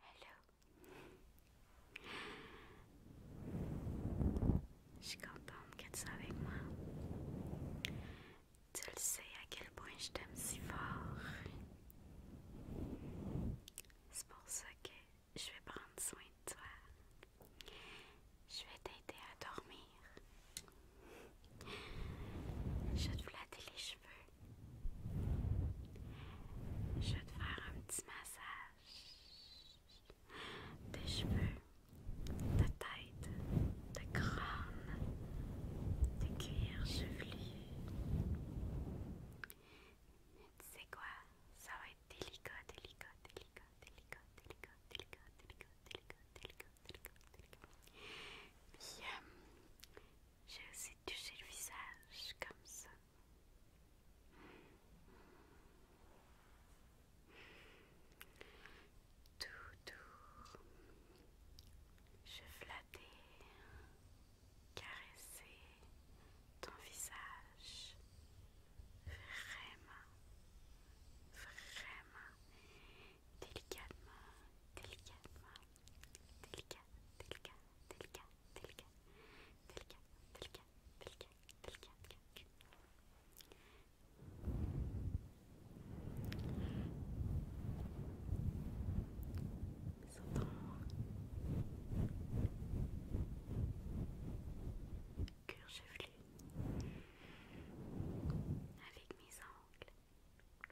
Hello. Je suis contente que tu sois avec moi. Tu le sais à quel point je t'aime si fort. C'est pour ça que je vais prendre soin de toi. Je vais t'aider à dormir. Je vais te flatter les cheveux. Je vais te faire un petit massage des cheveux, de tête, de crâne, de cuir chevelu. Tu sais quoi? Ça va être délicat, délicat, délicat, délicat, délicat, délicat, délicat, délicat, délicat, délicat, délicat. délicat. J'ai aussi touché le visage comme ça. Tout doux. Je flattais, caresser ton visage. Vraiment, vraiment, délicatement, délicatement délicat, délicat, délicat, délicat, délicat, avec mes ongles.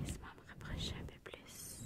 Laisse-moi me rapprocher un peu plus.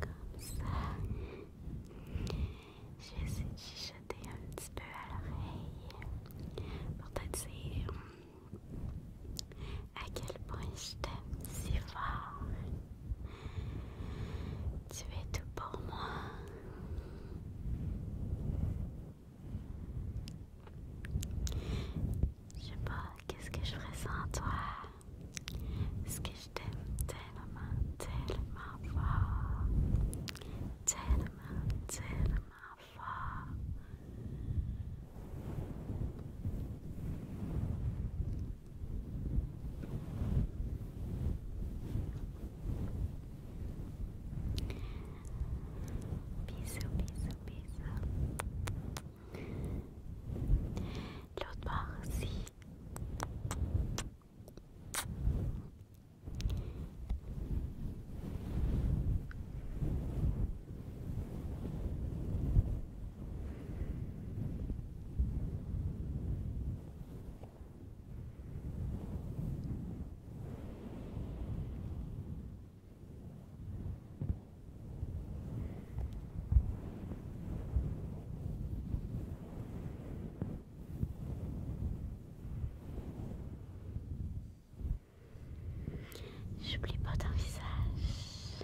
Comme ça, je vais essayer de chuchoter un petit peu à l'oreille pour te dire à quel point je t'aime si fort. Tu es tout pour moi. Je sais pas, qu'est-ce que je ferais sans toi? Ce que je t'aime tellement, tellement fort. Tellement, tellement fort. Bisous, bisous, bisous. L'autre part aussi. J'oublie pas ton visage.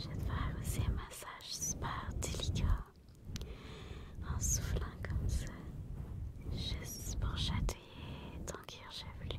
Je vais faire aussi un massage super délicat en soufflant comme ça, juste pour chatouiller ton cuir chevelu.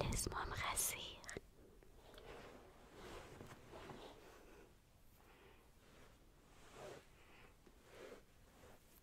Laisse-moi me rassurer.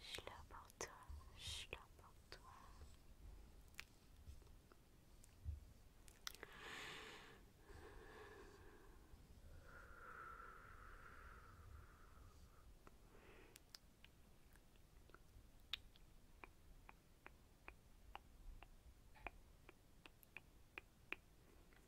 Je l'apporte toi, je l'apporte toi.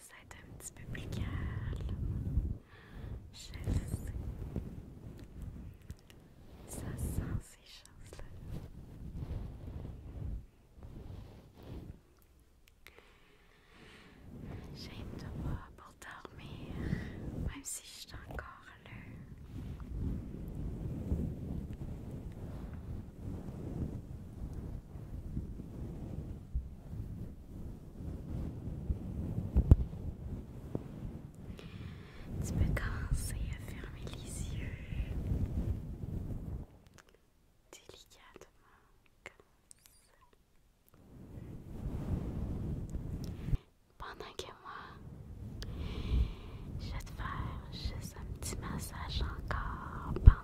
ça est un petit peu plus calme. Je sais. Ça sent ces choses-là. J'ai une pour dormir, même si je suis encore là. Tu peux commencer à fermer les yeux délicatement comme ça. Pendant que moi, je vais te faire juste un petit massage encore. Pendant